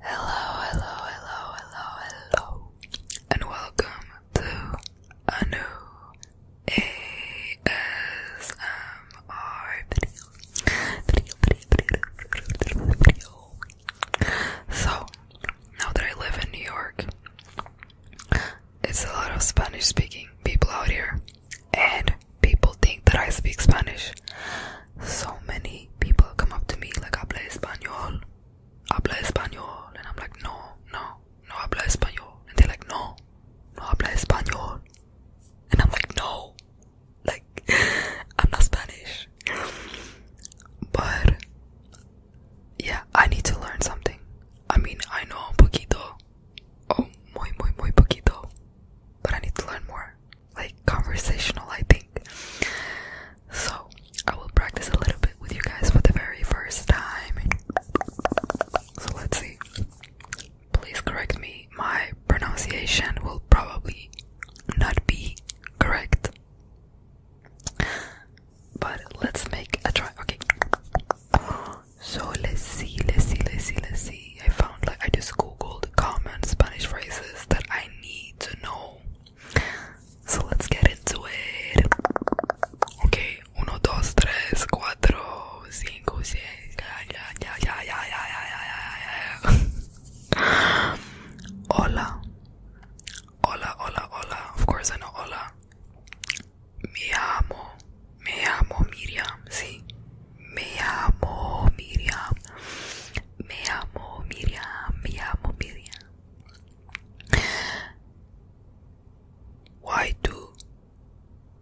hello, hello, hello, hello, and welcome to a new ASMR video. So, now that I live in New York, it's a lot of Spanish speaking people out here, and people think that I speak Spanish. So many people come up to me like, I habla español, play español. And I'm like, no, no, no I play español. And they're like, no, no I play español. And I'm like, no, like, I'm not Spanish. But yeah, I need to learn something. I mean, I know un poquito, oh, muy, muy, muy poquito, but I need to learn more like conversational, I think. So I will practice a little bit with you guys for the very first time. So let's see. Please correct me. My pronunciation will probably not be correct. But let's make a try. Okay. So let's see, let's see, let's see, let's see recently I found like I just googled common Spanish phrases that I need to know. So let's get into it. Okay, uno, dos, tres, cuatro, cinco, seis. Yeah, yeah, yeah, yeah, yeah, yeah, yeah, yeah. hola, hola, hola, hola. Of course I know hola. Mi amo. Me llamo Miriam, sí. Me llamo Miriam. Me llamo Miriam. Me llamo Miriam. Why do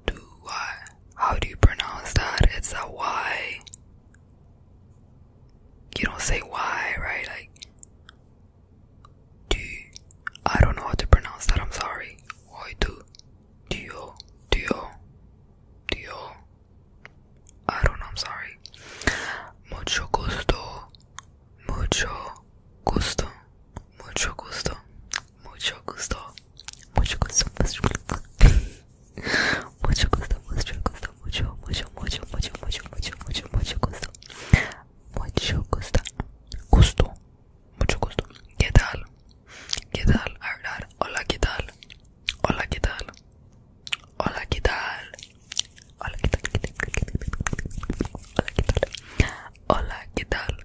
do why? How do you pronounce that? It's a Y. You don't say why, right? Like do. I don't know how to pronounce that. I'm sorry. Why do Duo, duo, duo. I don't know, I'm sorry. Mucho gusto, mucho gusto, mucho gusto, mucho gusto, mucho gusto, mucho gusto, mucho gusto, mucho gusto, mucho, mucho, mucho, mucho, mucho, mucho, mucho, mucho gusto, mucho gusto, gusto, mucho gusto. ¿Qué tal? ¿Qué tal? Hola, ¿qué Hola, ¿qué tal? Hola, ¿qué tal? Hola, ¿qué tal? Hola, ¿qué tal? Hola, ¿qué tal?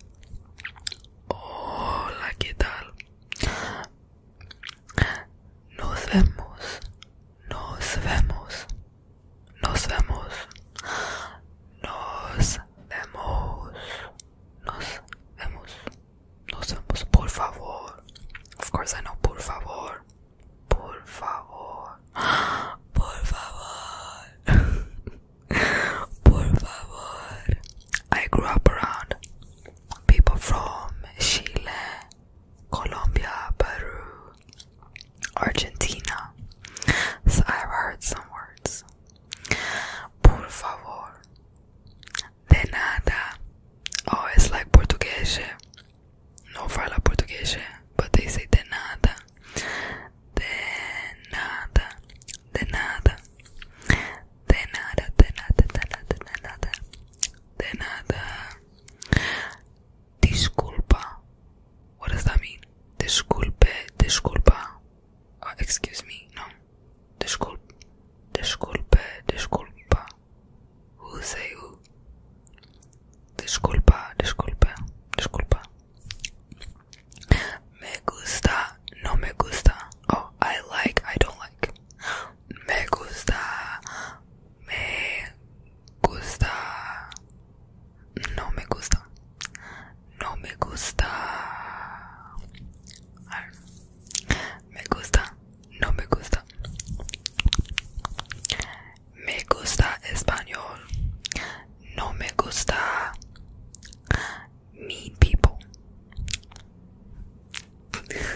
Hola, ¿qué tal? Nos vemos. Nos vemos. Nos vemos. Nos vemos. Of course, I know, por favor, por favor, por favor, por favor. I grew up around people from Chile, Colombia, Peru, Argentina. So I've heard some words. Por favor. De nada. Oh, it's like português. Não fala português, but they say de nada. De nada. De nada. De nada, de nada, de nada, de nada. De nada. Desculpa. What does that mean? Desculpe, desculpa. Ah, excuse me, no. Disculpe, disculpe, disculpa. Who say who? Disculpa, disculpe, disculpa. Me gusta, no me gusta. Oh, I like, I don't like. Me gusta, me gusta, no me gusta. No me gusta. Me gusta. No me gusta. Me gusta español. No me gusta. mi people.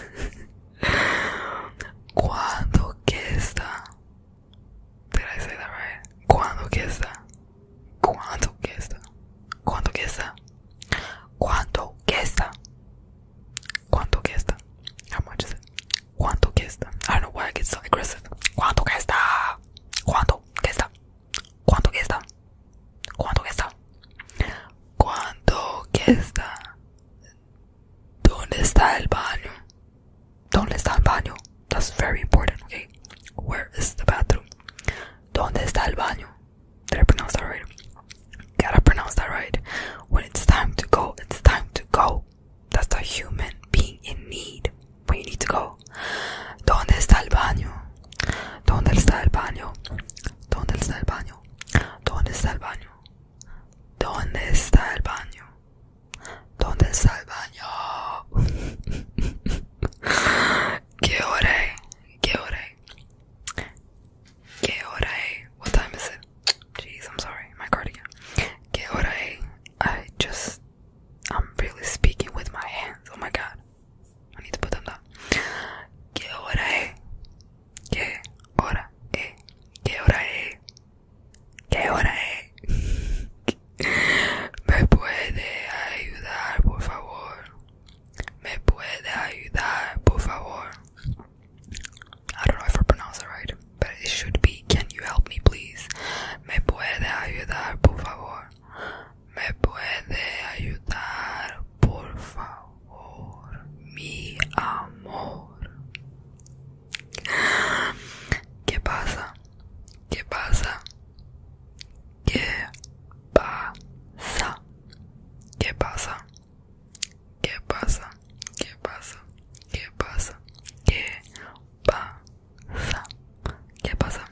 ¿Cuándo que está. Did I say that right? Cuando que está. Quanto cuesta? Quanto cuesta? Quanto cuesta? Quanto cuesta? How Cuánto qué está? Quanto cuesta? I don't know ¿Cuánto I está? so aggressive. está? Cuánto Quanto está? Cuánto que está? Cuánto Quanto está? ¿Dónde está el baño? do ¿Dónde está el baño? That's very important, okay? Where is the bathroom? do ¿Dónde está el baño? Did I pronounce that right? Gotta pronounce that right. When it's time to go, it's time to go. That's a human being in need when you need to go. ¿Dónde está el baño? ¿Dónde está el baño? ¿Dónde está el baño? ¿Dónde está el baño? ¿Dónde está el baño? ¿Dónde está el baño? ¿Qué hora es? ¿Qué hora es? ¿Qué hora es? What time is it? Jeez, I'm sorry, my cardigan. ¿Qué hora es? I just, I'm really speaking with my hands. Oh my god. I need to put them down. ¿Qué hora es? ¿Qué hora es? ¿Qué hora es? ¿Qué hora es? ¿Me puede ayudar, por favor? I don't know if I pronounce it right, but it should be Can you help me, please? ¿Me puede ayudar, por favor? ¿Me puede ayudar, por favor? Mi amor. ¿Qué pasa? ¿Qué pasa? ¿Qué pasa? ¿Qué pasa? ¿Qué pasa? ¿Qué pasa? ¿Qué pasa? ¿Qué pasa? ¿Qué pasa? ¿Qué pasa?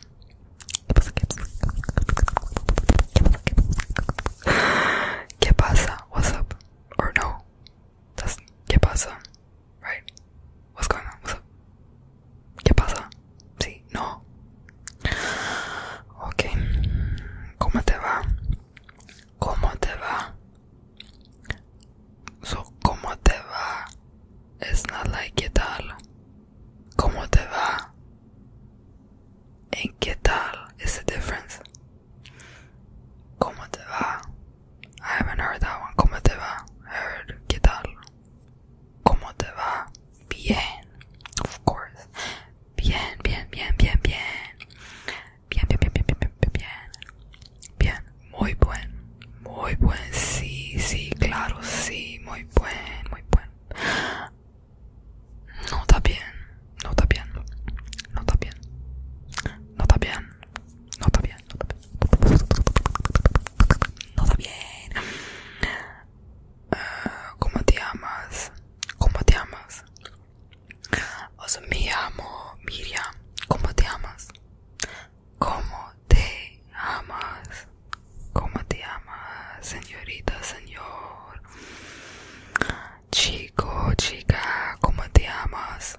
¿Qué pasa? What's up? Or no? That's ¿Qué pasa? Right? What's going on? What's up? ¿Qué pasa? Sí, no. Ok. ¿Cómo te va? ¿Cómo te va? So, ¿cómo te va? It's not like ¿qué tal? ¿Cómo te va? En qué tal is the difference. ¿Cómo te va? I haven't heard that one. ¿Cómo te va? Heard. ¿Qué tal? ¿Cómo te va? Bien. Of course. Bien, bien, bien, bien, bien. Bien, bien, bien, bien, bien, bien, bien. Bien. Muy buen. Muy buen. Sí, sí, claro, sí. Muy buen, muy buen. No está bien. No está bien. No está bien. No está bien. No está bien, no está bien. No está bien. Ah, ¿Cómo te amas ¿Cómo te amas O me amo Miriam. ¿Cómo te amas ¿Cómo te amas? ¿Cómo te amas señorita, señor? Chico, chica, ¿cómo te amas?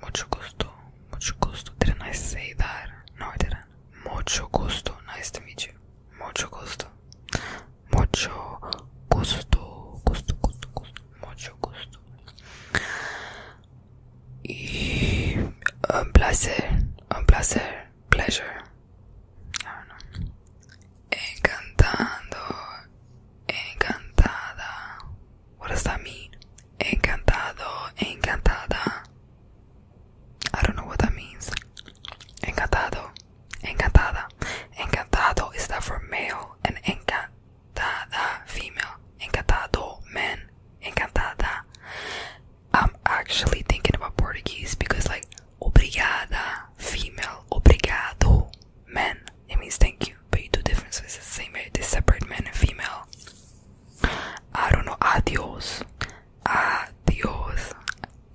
Mucho gusto, mucho gusto. Did nice say that? não I muito gosto Nice to meet you. muito gosto muito gosto Gusto, gosto gusto. Mucho gusto. Y un placer, um placer, pleasure. I Encantando, encantada, What does that mean? Encantado, encantada. I don't know what that means. Encantado, encantada. Encantado is that for male and encantada female. Encantado man, encantada. I'm actually thinking about Portuguese because like obrigada female, obrigado man. It means thank you, but you do different, so it's the same. They separate man and female. I don't know. Adios. Adios.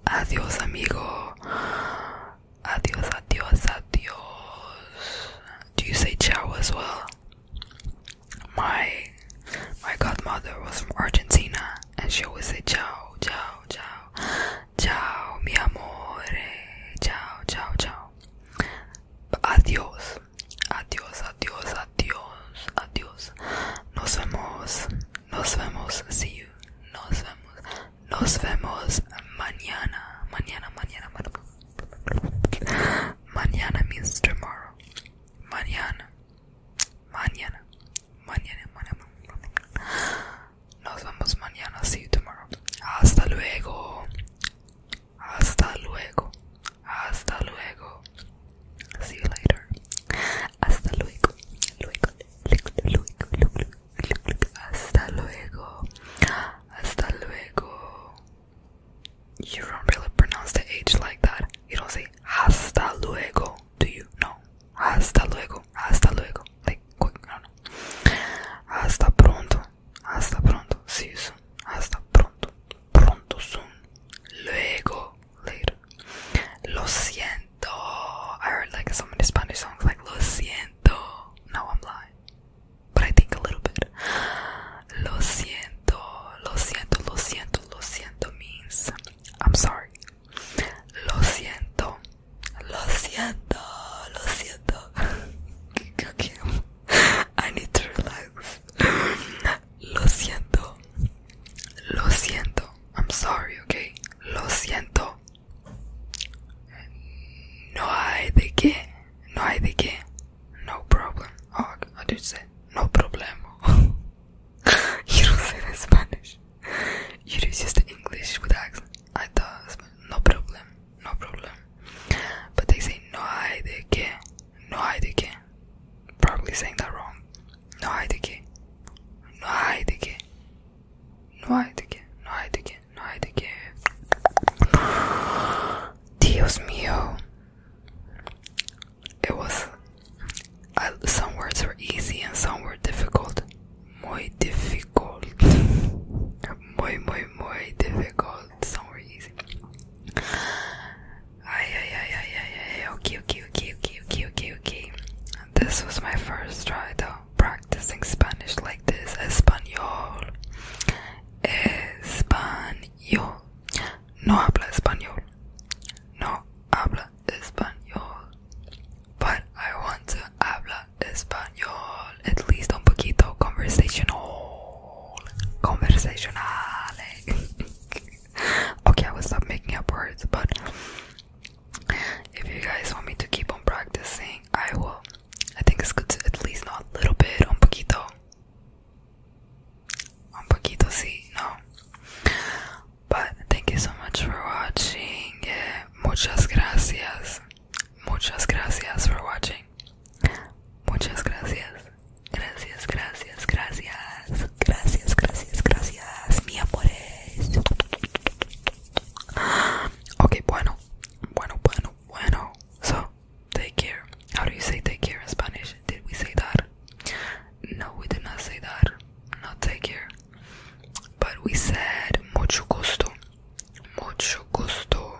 Adios, amigo. Adios, adios, adios. Do you say ciao as well? My my godmother was from Argentina, and she always said ciao, ciao, ciao, ciao, mi amore, ciao, ciao, ciao. adiós, adiós, adiós, adiós, adiós. Nos vemos, nos vemos, see nos vemos, nos vemos mañana, mañana, mañana, mañana. Mañana means tomorrow. Mañana, mañana, mañana, mañana. Nos vemos mañana, see you tomorrow. Hasta luego, Hasta luego. Hasta luego. See you later. Hasta luego. Luego. Luego. Luego. luego. Hasta luego. Hasta luego. You don't really pronounce the H like that. You don't say hasta luego. Do you? No. Hasta luego. Hasta luego. Like quick. no. Hasta pronto hasta ah, pronto, Sí, you soon, hasta ah, pronto, pronto soon, luego, later, lo siento, I heard like so many Spanish songs like lo siento, no I'm lying, but I think a little bit, lo siento, lo siento, lo siento, lo siento means, I'm sorry, lo siento, Lo siento, lo siento. I need to relax. Lo siento. Lo siento. I'm sorry, okay? Lo siento. No hay de qué. No hay de qué. No problem. I oh, did say no problemo. you don't say that Spanish. You just English with accent. I thought, no problem, no problem. But they say, no hay de qué, no hay de qué. Probably saying that wrong. No hay de qué, no hay de qué, no hay de qué, no hay de qué, no hay de qué. Dios mío. It was, I, uh, some words were easy and some were difficult. Very difficult. Very, very, muy difficult. Sorry, easy. Ay, ay, ay, ay, ay, ay. okay, okay, okay, okay, okay, okay. This was my first try though. Practicing Spanish like this. Español. Español. No habla español. No habla español. But I want to habla español, at least un poquito conversational, conversationale. okay, I will stop making up words, but if you guys want me to keep on practicing, I will. I think it's good to at least not a little bit, un poquito. Un poquito, sí, no. But thank you so much for watching muchas gracias. Muchas gracias for watching. Muchas gracias. Gracias, gracias, gracias. Gracias, gracias, gracias. Mi amores. Ok, bueno. Bueno, bueno, bueno. So, take care. How do you say take care in Spanish? Did we say that? No, we did not say that. Not take care. But we said mucho gusto, mucho gusto.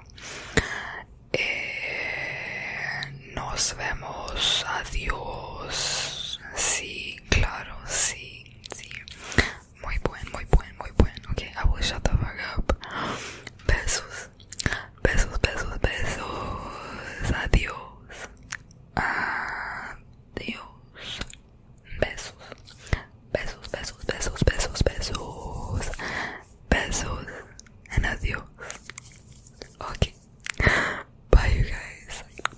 Eh, nos vemos, adiós. Sí, claro, sí, sí. Muy buen, muy buen, muy buen. Okay, I will shut the fuck up. Besos, besos, besos, besos. Adiós. Adiós besos, besos, besos, besos, besos, besos, besos, and adios. Okay, bye, you guys.